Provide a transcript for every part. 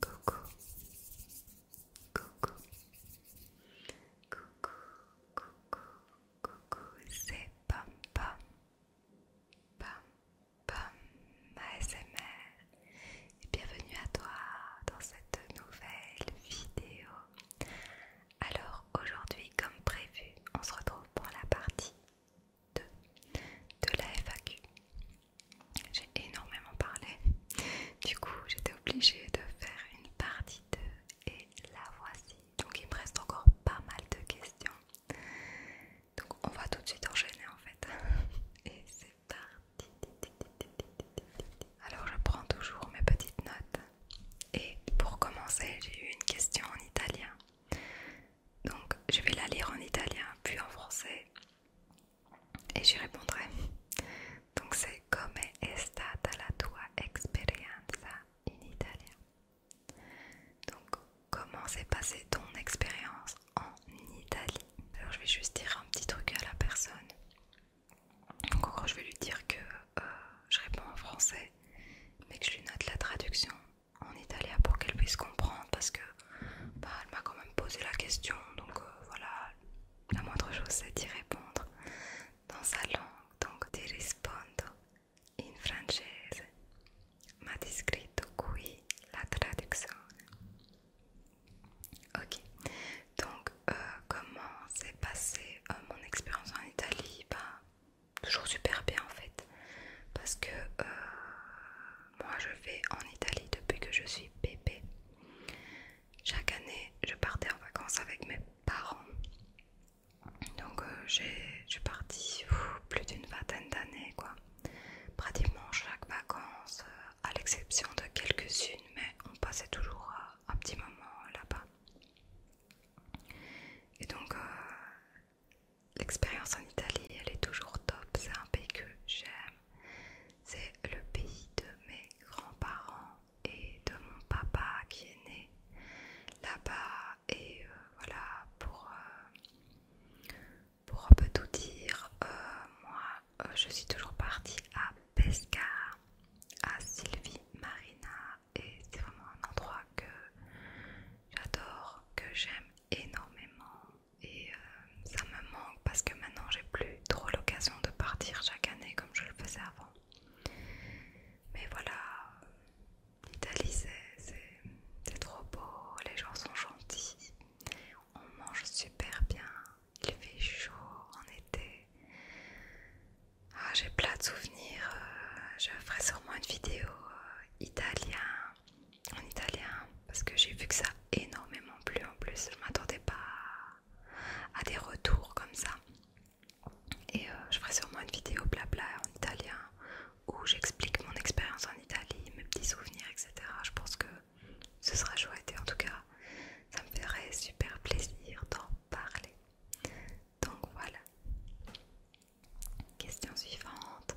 Coucou. Coucou. Coucou. Coucou. Coucou. C'est Pam Pam. Pam Pam ASMR. Et bienvenue à toi dans cette nouvelle vidéo. Alors aujourd'hui, comme prévu, on se retrouve pour la partie de la FAQ. J'ai énormément parlé, du coup j'étais obligée de faire une partie 2 et la voici. Donc il me reste encore pas mal de questions. Donc on va tout de suite enchaîner en fait. Et c'est parti. Alors je prends toujours mes petites notes. Et pour commencer j'ai eu une question en italien. Donc je vais la lire en italien puis en français et j'y répondrai. Donc c'est Come è stata la tua esperienza in italien. Donc comment s'est passée ton expérience en Italie Alors je vais juste dire un petit truc à la personne. Donc encore je vais lui dire que euh, je réponds en français mais que je lui note la traduction en italien pour qu'elle puisse comprendre parce que bah, elle m'a quand même posé la question, donc euh, voilà, la moindre chose c'est d'y répondre dans sa langue, donc ti rispondo in francese, ma descritto qui la traduction Ok, donc euh, comment s'est passée euh, mon expérience en Italie bah, Toujours super bien en fait, parce que moi je vais en Italie depuis que je suis bébé. Chaque année, je partais en vacances avec mes parents. Donc euh, j'ai je suis partie plus d'une vingtaine d'années, quoi. Pratiquement chaque vacances, euh, à l'exception de quelques-unes, mais on passait toujours euh, un petit moment là-bas. Et donc, L'expérience en Italie, elle est toujours top. C'est un pays que j'aime. C'est le pays de mes grands-parents et de mon papa qui est né là-bas. Et euh, voilà, euh, pour, un peu tout dire, euh, moi, je suis toujours partie à Pesca, à Silvi Marina. Et c'est vraiment un endroit que j'adore, que j'aime énormément et euh, ça me manque parce que maintenant j'ai plus trop l'occasion de partir chaque année comme je le faisais avant. Mais voilà, l'Italie c'est trop beau, les gens sont gentils, on mange super bien, il fait chaud en été. Ah, j'ai plein de souvenirs, euh, je ferai sûrement une vidéo euh, italien en italien parce que j'ai vu que ça a énormément plu en plus. Je m'attendais pas à des retours comme ça. Et euh, je ferai sûrement une vidéo blabla en italien où j'explique mon expérience en Italie, mes petits souvenirs, etc. Je pense que ce sera chouette et en tout cas, ça me ferait super plaisir d'en parler. Donc voilà. Question suivante.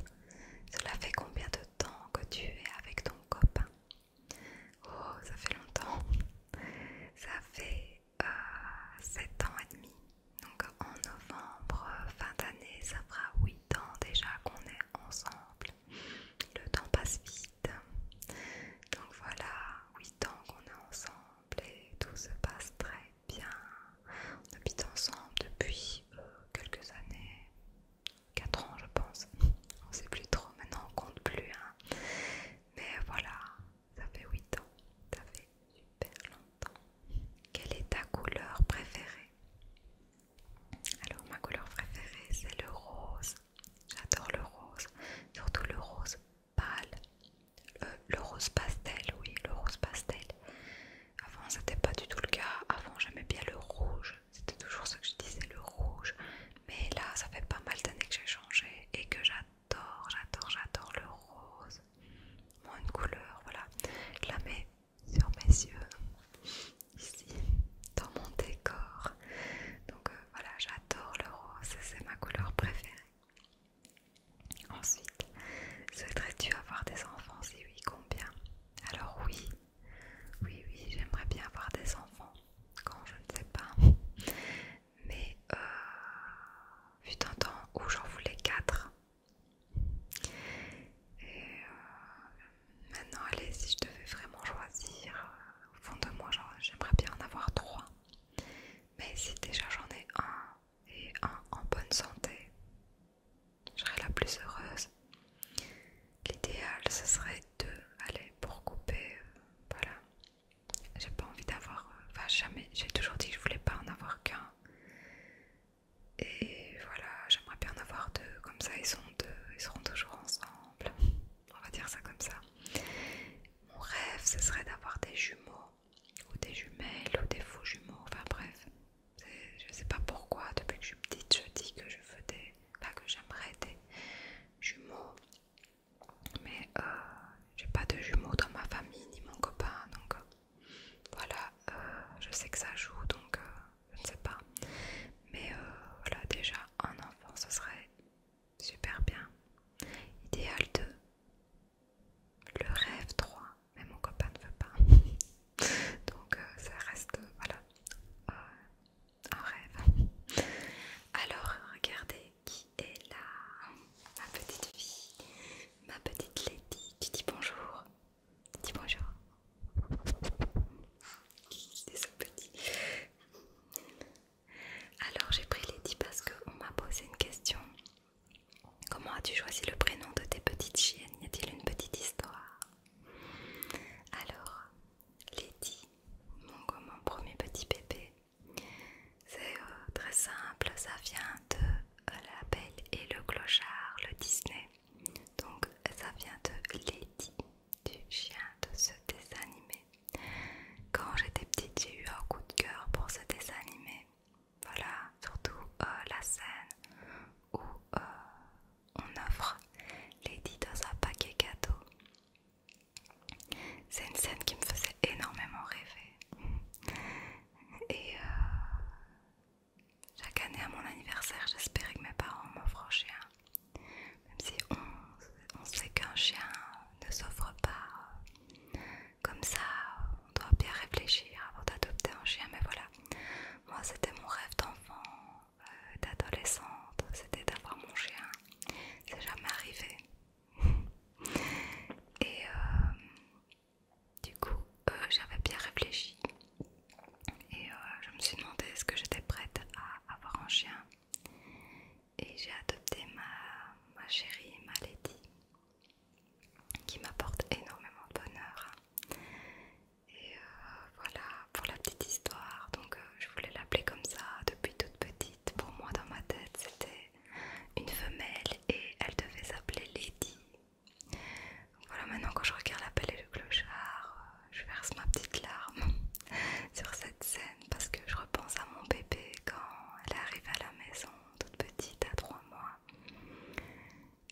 Cela fait combien de temps que tu es avec ton copain Oh, ça fait longtemps. Ça fait 7 euh, ans et demi. Donc en novembre, fin d'année, ça fera 8 ans déjà qu'on est ensemble. Le temps passe vite. Donc voilà, 8 ans qu'on est ensemble et tout se passe très bien. On habite ensemble depuis euh, quelques années, 4 ans je pense. On sait plus trop, maintenant on compte plus. Hein. Mais voilà, ça fait 8 ans. Ça fait super longtemps. Quelle est ta couleur préférée Alors ma couleur préférée c'est le rose. J'adore le rose. Surtout le rose pâle. Euh, le, rose pastel, oui, le rose pastel. Avant, c'était pas du tout le cas. Avant, j'aimais bien le rouge, c'était toujours ce que je disais, le rouge. Mais là, ça fait pas mal d'années que j'ai changé et que j'adore, j'adore, j'adore le rose. Moins une couleur, voilà. Je la mets sur mes yeux, ici, dans mon décor. Donc euh, voilà, j'adore le rose, c'est ma couleur préférée. Ensuite, souhaiterais-tu avoir des enfants Si oui, combien Alors oui, oui, oui, j'aimerais bien avoir des enfants quand je ne sais pas. Mais vu euh, d'un temps où j'en voulais quatre. Et euh, maintenant, allez, si je devais vraiment choisir, euh, au fond de moi, j'aimerais bien en avoir trois. Mais si déjà j'en ai un et un en bonne santé, je serais la plus heureuse. L'idéal, ce serait de, allez, pour couper, euh, voilà. J'ai pas envie d'avoir, euh, enfin jamais, j'ai toujours dit que je voulais pas en avoir qu'un. Et voilà, j'aimerais bien en avoir deux, comme ça ils sont deux, ils seront toujours ensemble. On va dire ça comme ça. Mon rêve, ce serait d'avoir des jumeaux, ou des jumelles, ou des faux jumeaux, enfin bref, je ne sais pas pourquoi, depuis que je suis petite, je dis que je veux que j'aimerais des jumeaux. Mais euh, j'ai pas de jumeaux dans ma famille ni mon copain. Donc euh, voilà, euh, je sais que ça joue, donc je ne sais pas. Mais voilà, déjà un enfant, ce serait super bien. Idéal 2. Le rêve 3 mais mon copain ne veut pas. Donc euh, ça reste, euh, voilà, euh, un rêve. Alors regardez qui est là, ma petite fille, ma petite Lady. Tu dis bonjour, dis bonjour. C'est ce petit. Alors j'ai pris Lady parce qu'on m'a posé une question. Comment as-tu choisi le prénom de tes petites chiennes Y a-t-il une petite histoire alors, Lady, mon, premier petit bébé, c'est euh, très simple, ça vient de euh, la Belle et le Clochard, le Disney. Donc, ça vient de Lady, du chien de ce dessin animé. Quand j'étais petite, j'ai eu un coup de cœur pour ce dessin animé. Voilà, surtout euh, la scène où on offre Lady dans un paquet cadeau. C'est une scène qui me faisait énormément rêver. Et euh, chaque année à mon anniversaire, j'espérais que mes parents m'offrent un chien. Même si on sait qu'un chien ne s'offre pas comme ça, on doit bien réfléchir avant d'adopter un chien. Mais voilà, moi, c'était mon rêve d'enfant, euh, d'adolescente, c'était d'avoir mon chien. C'est jamais arrivé. Et euh, du coup, euh, j'avais bien réfléchi. Et je me suis demandé est-ce que j'étais prête à avoir un chien. Et j'ai adopté ma, ma chérie, ma Lady, qui m'apporte énormément de bonheur. Et euh, voilà pour la petite histoire. Donc euh, je voulais l'appeler comme ça depuis toute petite. Pour moi dans ma tête c'était une femelle et elle devait s'appeler Lady. voilà maintenant quand je regarde l'appel et le clochard, euh, je verse ma petite larme sur cette scène parce que je repense à mon bébé quand elle arrive à la maison toute petite à 3 mois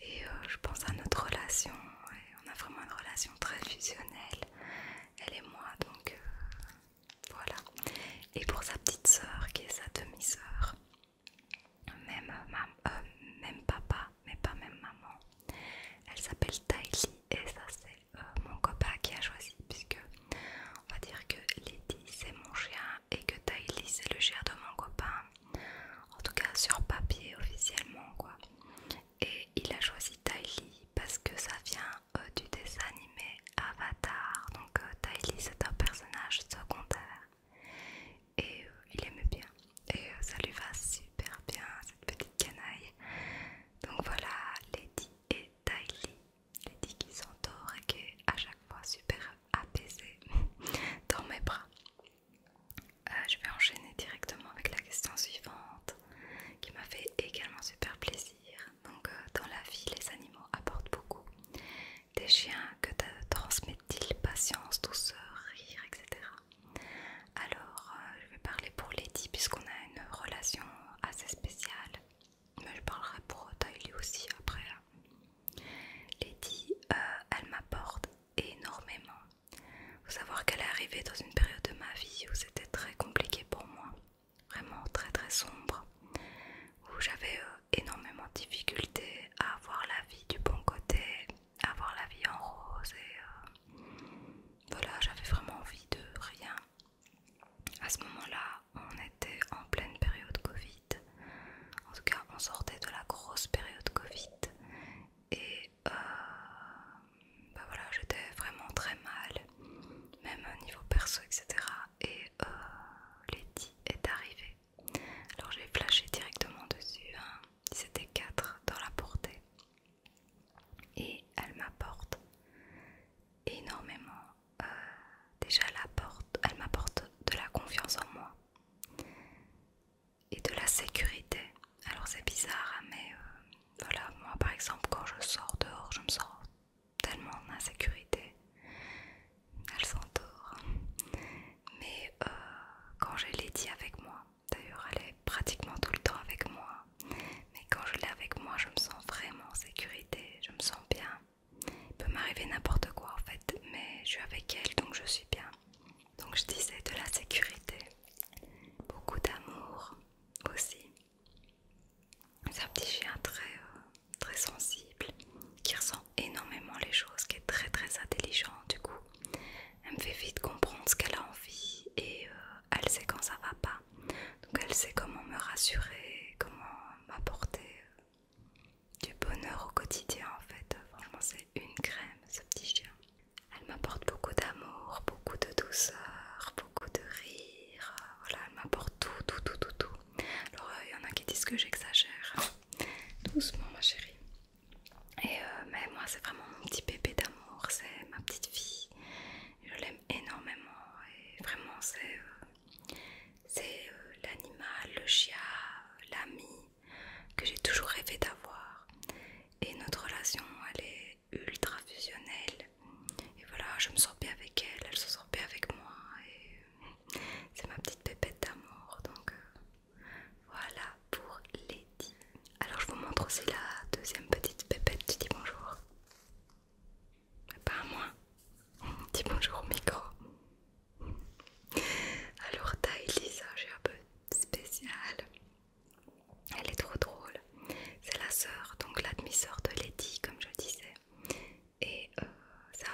et euh, je pense à notre relation. on a vraiment une relation très fusionnelle, elle et moi. Donc euh, voilà. Et pour sa petite sœur, qui est sa demi-sœur, même, euh, papa, mais pas même maman. Elle s'appelle Tylee et ça c'est mon copain qui a choisi puisque on va dire que Lady c'est mon chien et que Tylee c'est le chien de mon copain en tout cas sur papier officiellement quoi. Et il a choisi Tylee parce que ça vient euh, du dessin animé Avatar, donc euh, Tylee c'est un personnage secondaire et euh, il aime bien et ça lui va super bien cette petite canaille. Donc voilà, Lady et Tylee, Lady qui s'endort et qui est à chaque fois super apaisée dans mes bras. Euh, je vais enchaîner directement avec la question suivante qui m'a fait également super plaisir. Donc, euh, dans la vie, les animaux apportent beaucoup. Des chiens que transmettent-ils patience, douceur, rire, etc. Alors, euh, je vais parler pour Lady puisqu'on a une relation assez spéciale, mais je parlerai pour Tylee aussi après. Hein. Lady, elle m'apporte énormément. Faut savoir qu'elle est arrivée dans une période de ma vie où c'était très compliqué pour moi, vraiment très très sombre, où j'avais euh, énormément de difficultés à avoir la vie du bon côté, à avoir la vie en rose et euh, voilà, j'avais vraiment envie de rien. À ce moment-là, on était en pleine période Covid. En tout cas, on sortait de la grosse période Covid et euh, bah voilà, j'étais vraiment très mal, même au niveau perso, etc. Et euh, est arrivée. Alors j'ai flashé directement dessus, c'était hein. 4 dans la portée. Et elle m'apporte énormément. Euh, déjà, elle m'apporte de la confiance en moi et de la sécurité. Alors c'est bizarre, hein, mais euh, voilà, moi par exemple quand je sors dehors, je me sens tellement en insécurité. Elle s'entoure hein. Mais euh, quand j'ai Lady avec moi, d'ailleurs elle est pratiquement tout le temps avec moi, mais quand je l'ai avec moi, je me sens vraiment en sécurité, je me sens bien. Il peut m'arriver n'importe quoi en fait, mais je suis avec elle donc je suis bien. Donc je disais de la sécurité, beaucoup d'amour aussi. C'est un petit chien euh, très, sensible qui ressent énormément les choses, qui est très très intelligent du coup. Elle me fait vite comprendre ce qu'elle a envie et euh, elle sait quand ça va pas. Donc elle sait comment me rassurer, comment m'apporter euh, du bonheur au quotidien en fait une crème ce petit chien. Elle m'apporte beaucoup d'amour, beaucoup de douceur, beaucoup de rire. Voilà, elle m'apporte tout, tout, tout, tout, tout. Alors euh, il y en a qui disent que j'exagère. Doucement ma chérie. Et euh, mais moi c'est vraiment mon petit bébé d'amour, c'est ma petite fille. Je l'aime énormément et vraiment c'est euh, c'est l'animal, le chien, l'ami que j'ai toujours rêvé d'avoir. Et notre relation, elle est ultra fusionnelle. Et voilà, je me sens bien avec elle, elle se sent bien avec moi. Et c'est ma petite pépette d'amour. Donc euh, voilà pour Lady. Alors je vous montre aussi la deuxième petite pépette. Tu dis bonjour. Pas à moi. Dis bonjour au micro. Alors taille Lisa, j'ai un peu spécial. Elle est trop drôle. C'est la sœur, donc la de Lady comme je disais. Et euh, c'est un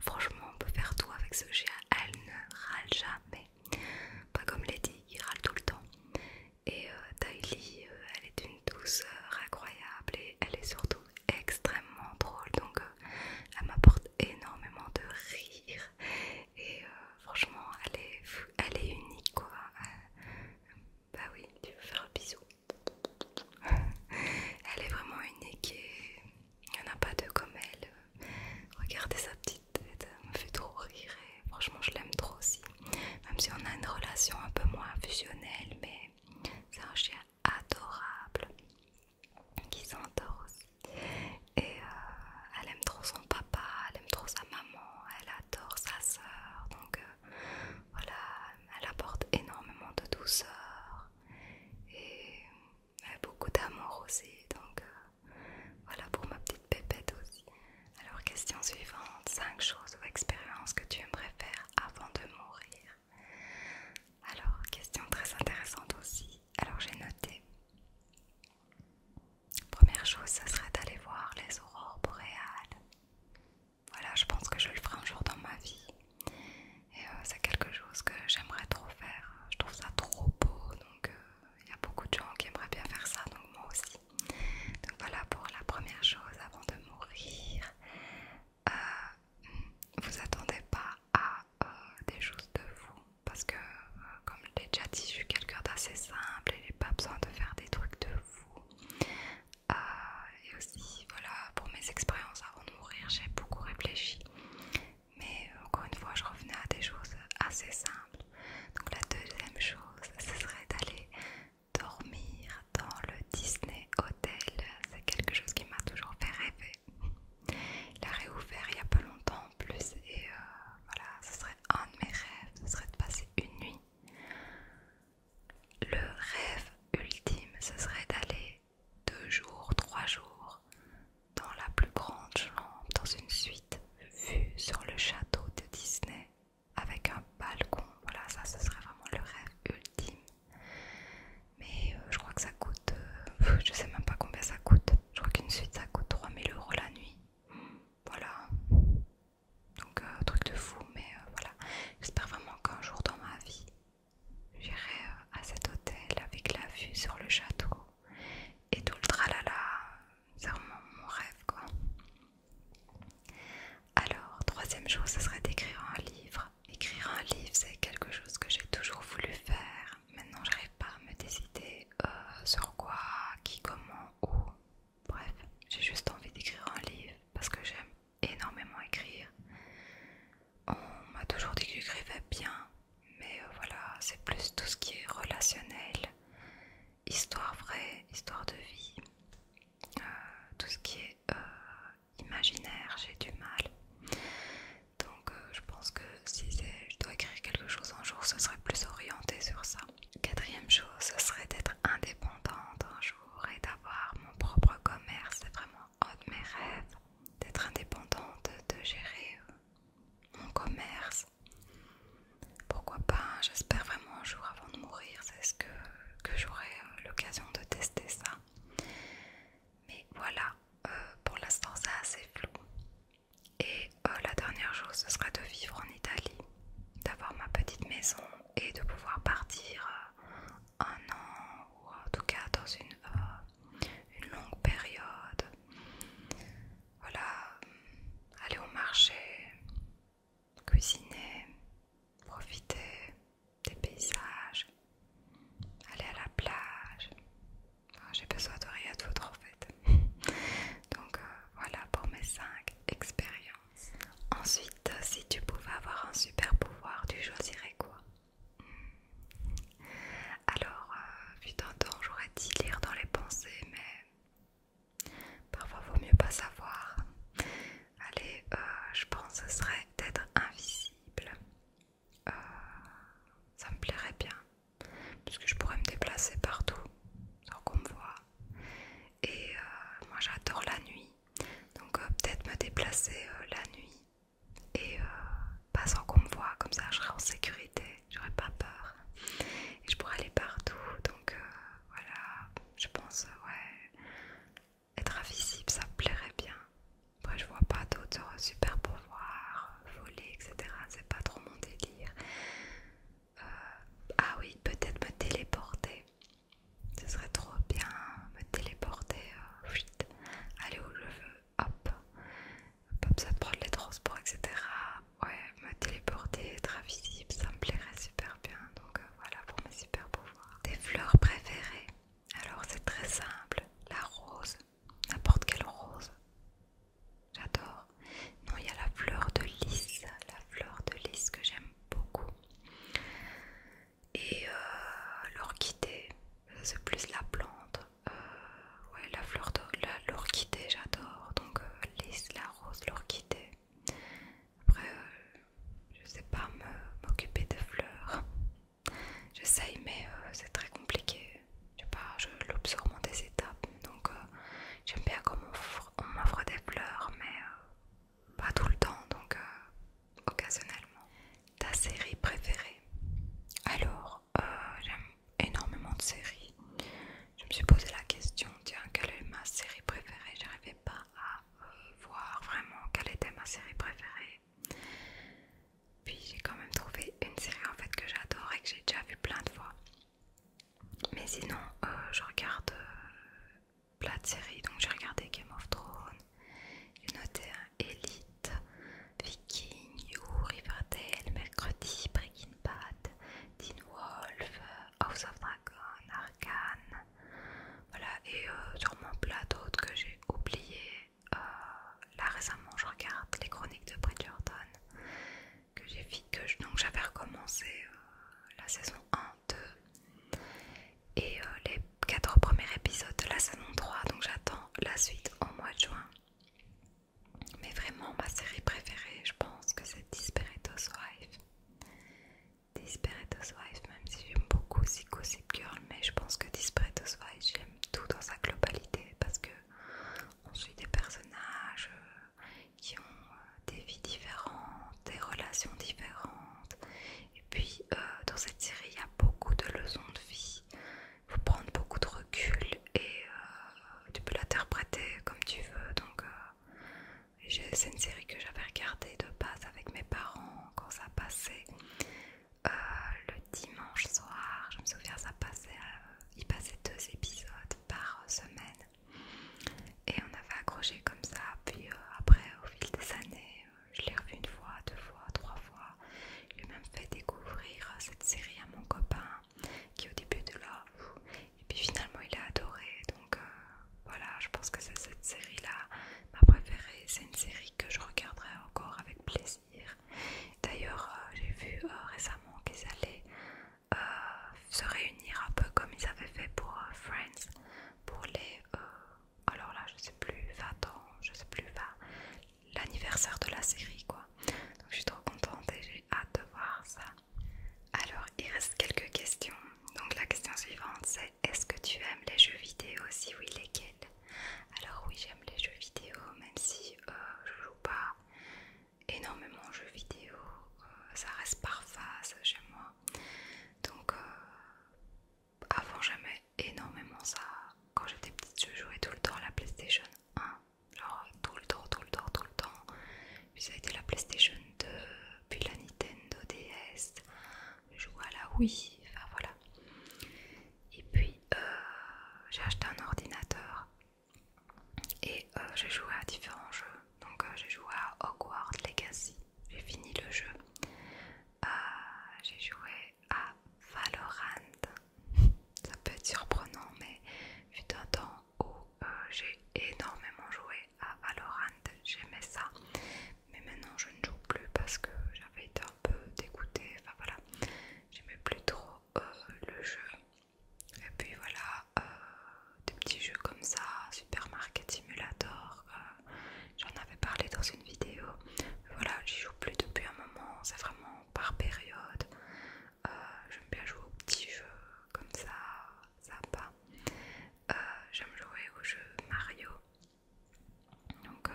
Franchement, on peut faire tout avec ce chien. Elle ne râle jamais. Pas comme Lady qui râle tout le temps. Et euh, euh elle est une douceur incroyable et elle est surtout extrêmement drôle. Donc, euh, elle m'apporte énormément de rire. Et euh, franchement, elle est, unique quoi. Euh, bah oui, tu veux faire un bisou. elle est vraiment unique et il n'y en a pas deux comme elle. Regardez sa petite tête, elle me fait trop rire franchement, je l'aime trop aussi. Même si on a une relation un peu moins fusionnelle, mais c'est un chien adorable qui s'endort aussi. Et euh, elle aime trop son papa, elle aime trop sa maman, elle adore sa sœur. Donc euh, voilà, elle apporte énormément de douceur et euh, beaucoup d'amour aussi. Donc voilà pour ma petite pépette aussi. Alors question suivante, 5 choses ou expériences que tu aimerais faire avant de mourir. Alors question très intéressante aussi. Alors j'ai noté. Première chose, ça serait d'aller voir les aurores boréales. Voilà, je pense que je le ferai un jour dans ma vie. Et euh, c'est quelque chose que j'aimerais trop faire. Je trouve ça trop beau, donc euh, il y a beaucoup de gens qui aimeraient bien faire ça, donc moi aussi. Donc voilà pour la première chose avant de mourir. Euh, hmm, vous attendez pas à euh, des choses de vous parce que, euh, comme je l'ai déjà dit, je suis quelqu'un d'assez simple et j'ai pas besoin de faire des trucs de fou. Euh, et aussi, voilà, pour mes expériences avant de mourir, j'ai beaucoup réfléchi. Mais encore une fois, je revenais à des choses assez simples. Donc, la deuxième chose, ce serait d'aller dormir dans le Disney Hotel. C'est quelque chose qui m'a toujours fait rêver. Il a réouvert il y a pas longtemps en plus et euh, voilà, ce serait un de mes rêves, ce serait de passer une nuit. Le rêve ultime, ce serait d'aller deux jours, trois jours dans la plus grande chambre, dans une suite vue sur le château de Disney avec un balcon. Voilà, ça ce serait vraiment le rêve ultime mais euh, je crois que ça coûte, je euh, je sais même pas combien ça coûte, je crois qu'une suite ça coûte 3000 euros la nuit, voilà, donc euh, truc de fou, mais voilà, j'espère vraiment qu'un jour dans ma vie, j'irai à cet hôtel avec la vue sur le château et tout le tralala, c'est vraiment mon rêve quoi. Alors, troisième chose, ce serait d'écrire un livre. Écrire un livre, c'est quelque chose que j'ai toujours voulu faire Maintenant, j'arrive pas à me décider euh, sur quoi, qui, comment, où. Bref, j'ai juste envie d'écrire un livre parce que j'aime énormément écrire. On m'a toujours dit que j'écrivais bien, mais euh, voilà, c'est plus tout ce qui est relationnel, histoire vraie, histoire de vie, euh, tout ce qui est imaginaire, j'ai du mal. Donc euh, je pense que si je dois écrire quelque chose un jour, ce serait plus orienté sur ça. Quatrième chose, ce serait d'être indépendante un jour et d'avoir mon propre commerce. C'est vraiment un de mes rêves d'être indépendante, de gérer euh, mon commerce. Pourquoi pas J'espère vraiment un jour avant de mourir, c'est ce que j'aurai euh, l'occasion de tester ça. Mais voilà, euh, pour l'instant c'est assez flou. Et euh, la dernière chose, ce sera de vivre en Italie, d'avoir ma petite maison et de pouvoir partir euh, un an ou en tout cas dans une, une longue période. Voilà, aller au marché, cuisiner, profiter des paysages, aller à la plage. Ah, j'ai besoin de rien d'autre en fait. Donc euh, voilà pour mes 5 expériences. Ensuite, euh, si tu pouvais avoir un super pouvoir, tu choisirais quoi hmm. Alors, euh, vu temps, j'aurais dit lire dans les pensées, mais parfois vaut mieux pas savoir. Allez, je pense que ce serait d'être invisible. Euh, ça me plairait bien parce que je pourrais me déplacer partout sans qu'on me voit et euh, moi j'adore la nuit donc euh, peut-être me déplacer la nuit et pas sans qu'on me voit comme ça je serai en sécurité j'aurais pas peur et je pourrais aller partout donc voilà je pense ouais être invisible ça me plairait bien je vois pas d'autres euh, super pouvoirs, euh, voler, etc. C'est pas trop mon délire. Euh, ah oui, peut-être me téléporter. Ce serait trop bien me téléporter, euh, aller où je veux, hop, hop, ça prendre les transports, etc. Ouais, me téléporter, être invisible, ça me plairait super bien. Donc voilà pour mes super pouvoirs. Des fleurs préférées. Alors c'est très simple, la rose, n'importe quelle rose. J'adore. Non, il y a la fleur de lys, la fleur de lys que j'aime beaucoup. Et euh, l'orchidée, c'est plus la plante. Euh, ouais, la fleur de l'orchidée, j'adore. Donc euh, lys, la rose, l'orchidée. Après, je sais pas m'occuper de fleurs. J'essaye, mais euh, c'est très compliqué. Je sais pas, je l'observe en des étapes. Donc, euh, j'aime bien comme on m'offre des fleurs, mais euh, pas tout le temps, donc occasionnellement. Ta série préférée Alors, j'aime énormément de séries. Je me suis posé la question, tiens, quelle est ma série préférée J'arrivais pas à voir vraiment quelle était ma série préférée puis j'ai quand même trouvé une série en fait que j'adore et que j'ai déjà vu plein de fois. Mais sinon, euh, je regarde euh, plein de séries. Donc j'ai regardé Game of Thrones, une Elite, Viking, You, Riverdale, Mercredi, Breaking Bad, Dean Wolf, euh, House of Dragon, Arcane. Voilà, et sûrement plein d'autres que j'ai oublié euh, là récemment je regarde les chroniques de Bridgerton que j'ai que donc j'avais recommencé euh, la saison 1, 2 et euh, les 4 premiers épisodes de la saison 3 donc j'attends la suite au mois de juin mais vraiment ma série préférée je pense que c'est Desperate Wife. Desperate Wife même si j'aime beaucoup Psycho Girl mais je pense que Desperate Wife tout dans sa globalité parce que on suit des personnages euh, qui ont euh, des vies différentes, des relations différentes. Et puis euh, dans cette série, il y a beaucoup de leçons de vie. Il faut prendre beaucoup de recul et tu peux l'interpréter comme tu veux. Donc c'est une série que j'avais regardée de base avec mes parents quand ça passait. Euh, le dimanche soir, je me souviens, ça passait, euh, il passait deux épisodes par semaine. Et on avait accroché comme ça, puis euh, après, au fil des années, je l'ai revu une fois, deux fois, trois fois. J'ai même fait découvrir cette série à mon copain, qui au début de l'offre, et puis finalement il a adoré. Donc voilà, je pense que c'est cette série-là, ma préférée. C'est une série que je regarderai encore avec plaisir. D'ailleurs, euh, j'ai vu euh, récemment qu'ils allaient euh, se réunir un peu comme ils avaient fait pour Friends, pour les. alors là, je sais plus, 20 ans, je sais plus, l'anniversaire de la série quoi. Donc je suis trop contente et j'ai hâte de voir ça. Alors, il reste quelques questions. Donc la question suivante c'est est-ce que tu aimes les jeux vidéo Si oui, lesquels alors oui, j'aime les jeux vidéo, même si euh, je joue pas énormément aux jeux vidéo, euh, ça reste par face, chez moi. Donc euh, avant j'aimais énormément ça. Quand j'étais petite, je jouais tout le temps à la PlayStation 1. Genre tout le temps, tout le temps, tout le temps. Puis ça a été la PlayStation 2, puis la Nintendo DS. Je jouais à la Wii, enfin voilà. Et puis euh, j'ai acheté un ordinateur et euh, j'ai joué à différents jeux. Donc euh, j'ai joué à Hogwarts Legacy, j'ai fini le jeu. j'ai joué à Valorant. Ça peut être surprenant, mais vu un temps où j'ai énormément joué à Valorant. J'aimais ça, mais maintenant je ne joue plus parce que j'avais été un peu dégoûtée. Enfin voilà, j'aimais plus trop euh, le jeu. Et puis voilà, euh, des petits jeux comme ça, Supermarket Simulator, euh, j'en avais parlé dans une vidéo. Voilà, j'y joue plus depuis un moment, c'est vraiment par période. J'aime bien jouer aux petits jeux comme ça, sympa. J'aime jouer aux jeux Mario. Donc, euh,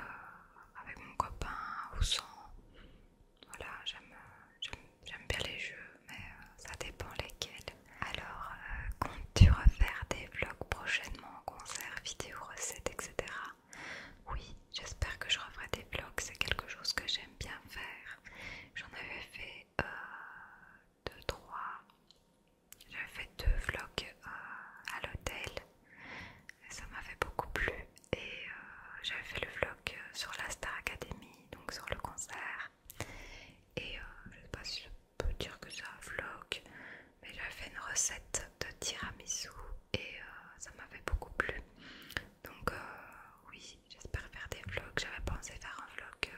avec mon copain ou sans, voilà, j'aime bien les jeux, mais euh, ça dépend lesquels. Alors, euh, comptes-tu refaire des vlogs prochainement, concerts, vidéos, recettes, etc. Oui, j'espère que je referai des vlogs, c'est quelque chose que j'aime bien faire. J'en avais fait 2-3. j'avais fait deux vlogs à l'hôtel et ça m'avait beaucoup plu et euh, j'avais fait le vlog euh, sur la Star Academy, donc sur le concert. Et euh, je sais pas si je peux dire que c'est un vlog, mais j'avais fait une recette de tiramisu et ça m'avait beaucoup plu. Donc oui, j'espère faire des vlogs. J'avais pensé faire un vlog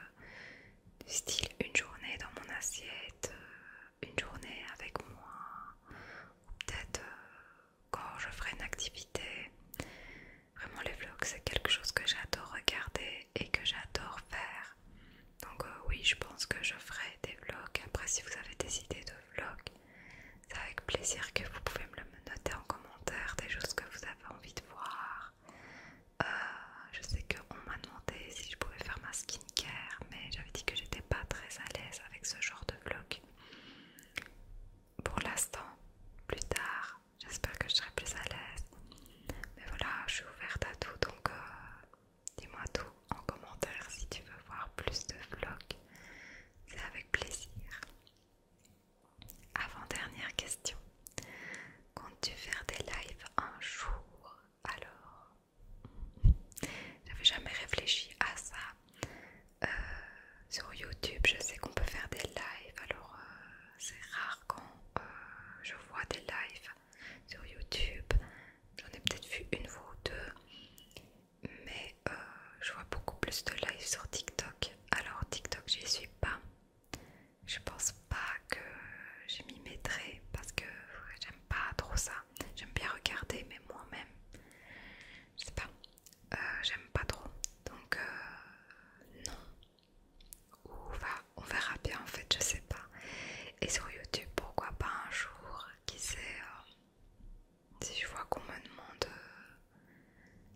du style une journée dans mon assiette, une journée avec moi, ou peut-être quand je ferai une activité. Vraiment, les vlogs, c'est quelque chose que j'adore regarder et que j'adore faire. Donc, euh, oui, je pense que je ferai des vlogs. Après, si vous avez des idées de vlogs, c'est avec plaisir que vous pouvez me le noter en commentaire, des choses que vous avez envie de voir. Euh, je sais qu'on m'a demandé si je pouvais faire ma skincare, mais j'avais dit que j'étais pas très à l'aise avec ce genre de vlog. Pour l'instant, plus tard, j'espère que je serai plus à l'aise. Mais voilà, je suis ouverte à tout, donc euh, dis-moi tout en commentaire si tu veux voir plus de vlogs. C'est avec plaisir. Avant-dernière question. Comptes-tu faire des lives un jour alors j'avais jamais réfléchi à ça. Euh, sur YouTube, je sais qu'on peut faire des lives, alors euh, c'est rare quand euh, je vois des lives sur YouTube. J'en ai peut-être vu une ou deux, mais je vois beaucoup plus de lives sur TikTok. Alors TikTok, j'y suis pas. Je pense pas que je m'y mettrai parce que j'aime pas trop ça. J'aime bien regarder, mais moi-même, je sais pas, euh, j'aime pas trop. Donc, euh, non. Ou on verra bien en fait, je sais pas. Et sur YouTube, pourquoi pas un jour, qui sait, euh, si je vois qu'on me demande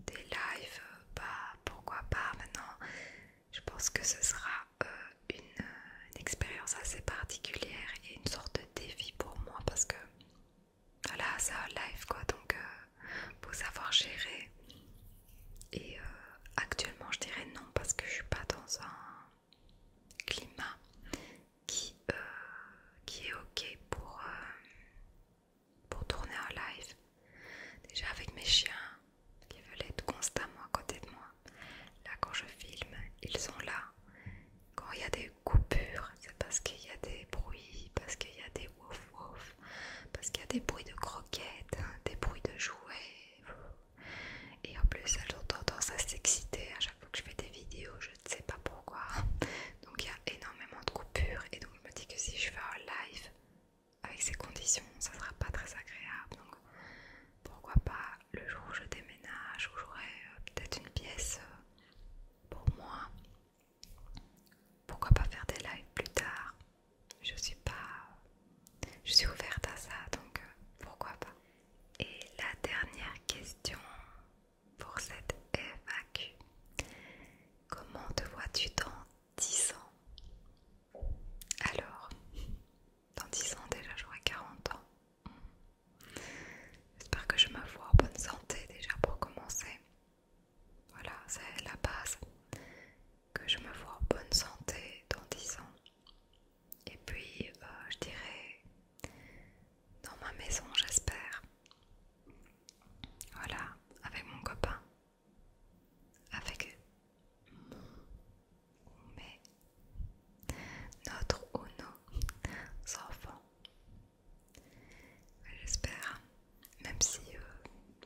des lives, bah pourquoi pas maintenant. Je pense que ce sera une expérience assez particulière et une sorte de défi pour moi parce que voilà, c'est un live quoi, donc euh, pour savoir gérer. Et euh, actuellement, je dirais non parce que je suis pas dans un climat qui, euh, qui est ok pour, pour tourner un live. Déjà avec mes chiens qui veulent être constamment à côté de moi. Là, quand je filme, ils sont là. Quand il y a des coupures, c'est parce qu'il y a des bruits, parce qu'il y a des wouf wouf, parce qu'il y a des bruits de croquettes, hein, des bruits de jouets. Et en plus, elles ont tendance à s'exciter à chaque fois que je fais des vidéos, je ne sais pas pourquoi. Donc il y a énormément de coupures, et donc je me dis que si je fais un live avec ces conditions, ça ne sera pas très agréable. Donc pourquoi pas le jour où je déménage, où j'aurai euh, peut-être une pièce. Euh, pour moi, pourquoi pas faire des lives plus tard Je suis pas, je suis ouverte à ça, donc euh, pourquoi pas Et la dernière question pour cette FAQ Comment te vois-tu dans 10 ans Alors, dans 10 ans déjà, j'aurai 40 ans. J'espère que je me vois en bonne santé déjà pour commencer. Voilà, c'est la base. Que je me vois en bonne santé dans 10 ans. Et puis, euh, je dirais dans ma maison, j'espère. Voilà, avec mon copain. Avec mon, mes notre ou nos enfants. J'espère, même si euh,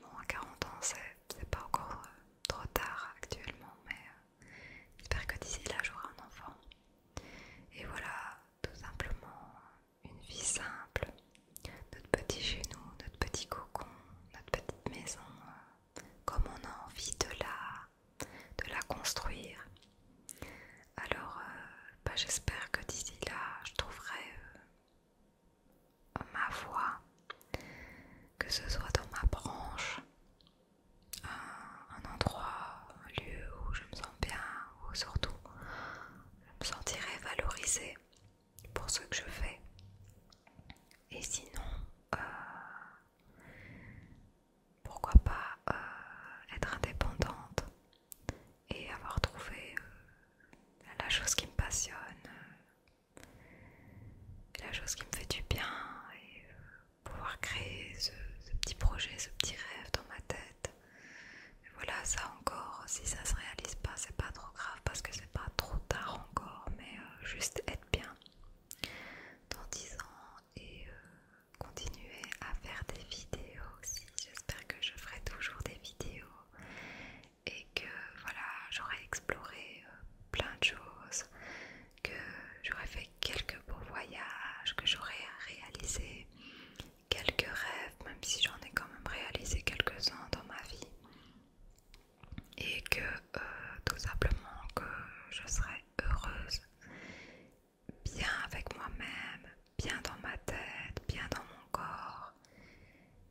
bon, à 40 ans c'est pas encore euh, trop tard actuellement, mais euh, j'espère que d'ici là j'aurai un enfant. Et voilà, tout simplement une vie simple, notre petit chez nous, notre petit cocon, notre petite maison, comme on a envie de là, de la construire. Alors, euh, bah, j'espère que d'ici là, je trouverai euh, ma voie, que ce soit dans ma branche, un, endroit, un lieu où je me sens bien, où surtout je me sentirai valorisée pour ce que je fais. Et sinon, euh, pourquoi pas euh, être indépendante et avoir trouvé euh, la chose qui me passionne, euh, la chose qui me fait du bien et pouvoir créer ce, petit projet, ce petit rêve dans ma tête. voilà, ça encore, si ça se réalise pas, c'est pas trop grave parce que c'est pas trop tard encore, mais juste être bien dans 10 ans et continuer à faire des vidéos aussi. J'espère que je ferai toujours des vidéos et que voilà, j'aurai exploré euh, plein de choses, que j'aurai fait quelques beaux voyages, que j'aurai réalisé quelques rêves, même si j'en ai quand même réalisé quelques-uns dans ma vie. Et que euh, tout simplement que je serai heureuse bien avec moi-même, bien dans ma tête, bien dans mon corps,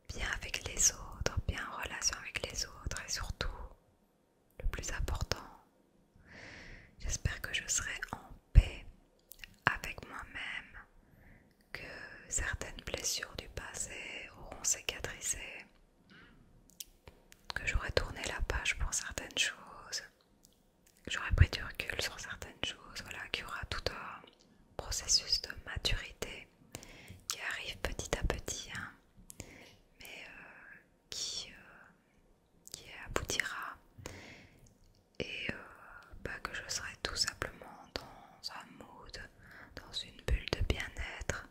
bien avec les autres, bien en relation avec les autres et surtout, le plus important, j'espère que je serai en paix avec moi-même, que certaines blessures du passé auront cicatrisé, que j'aurai tourné la page pour certaines choses j'aurais pris du recul sur certaines choses, voilà, qu'il y aura tout un processus de maturité qui arrive petit à petit, hein, mais euh, qui, euh, qui aboutira et pas euh, bah, que je serai tout simplement dans un mood, dans une bulle de bien-être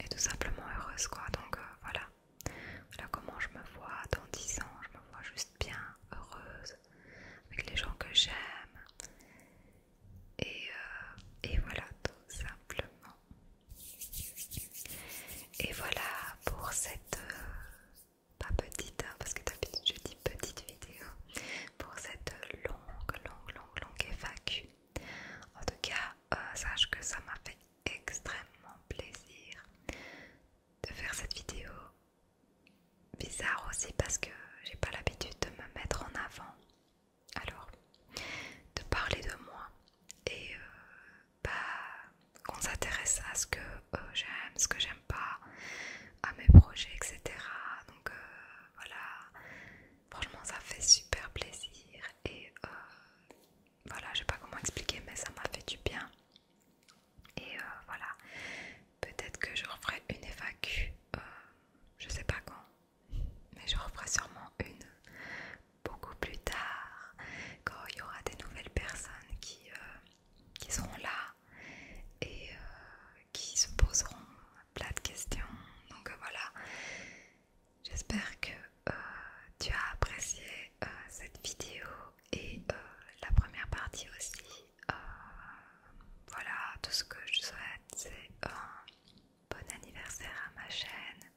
et tout simplement heureuse quoi. Donc euh, voilà. Voilà comment je me vois dans 10 ans. Je me vois juste bien, heureuse, avec les gens que j'aime. Et, euh, voilà tout simplement. Et voilà pour cette... Euh, pas petite, hein, parce que d'habitude je dis petite vidéo. Pour cette longue, longue, longue, longue FAQ. En tout cas, sache que ça m'a fait extrêmement plaisir de faire cette vidéo. Bizarre aussi parce que j'ai pas l'habitude de me mettre en avant. Alors, de parler de moi et euh, bah, qu'on s'intéresse à ce que euh, j'aime, ce que j'aime pas, à mes projets, etc. Donc euh, voilà, franchement ça fait super plaisir et voilà, je sais pas comment expliquer, mais ça m'a fait du bien. Et euh, voilà, peut-être que je referai une FAQ, je euh, je sais pas quand, mais je referai sûrement une beaucoup plus tard, quand il y aura des nouvelles personnes qui, euh, qui seront là et qui se poseront plein de questions. Donc voilà, J'espère que euh, tu as apprécié euh, cette vidéo et euh, la première partie aussi. voilà, tout ce que je souhaite, c'est un bon anniversaire à ma chaîne.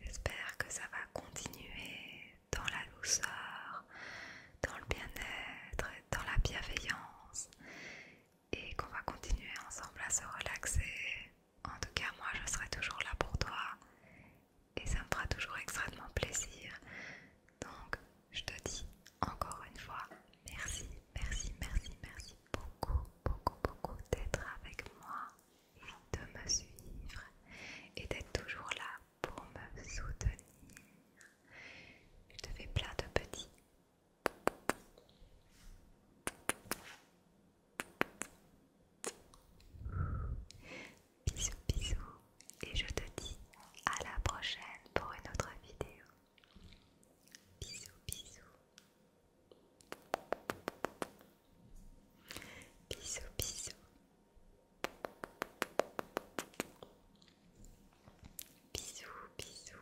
J'espère que ça va continuer dans la douceur, dans le bien-être, dans la bienveillance et qu'on va continuer ensemble à se relaxer en tout cas, moi, je serai toujours là pour toi et ça me fera toujours extrêmement plaisir. Donc, je te dis encore une fois, merci, merci, merci, merci beaucoup, beaucoup, beaucoup d'être avec moi et de me suivre et d'être toujours là pour me soutenir. Je te fais plein de petits. Bisous bisous et je te dis à la prochaine pour une autre vidéo. Bisous bisous. Bisous bisous. Bisous bisous.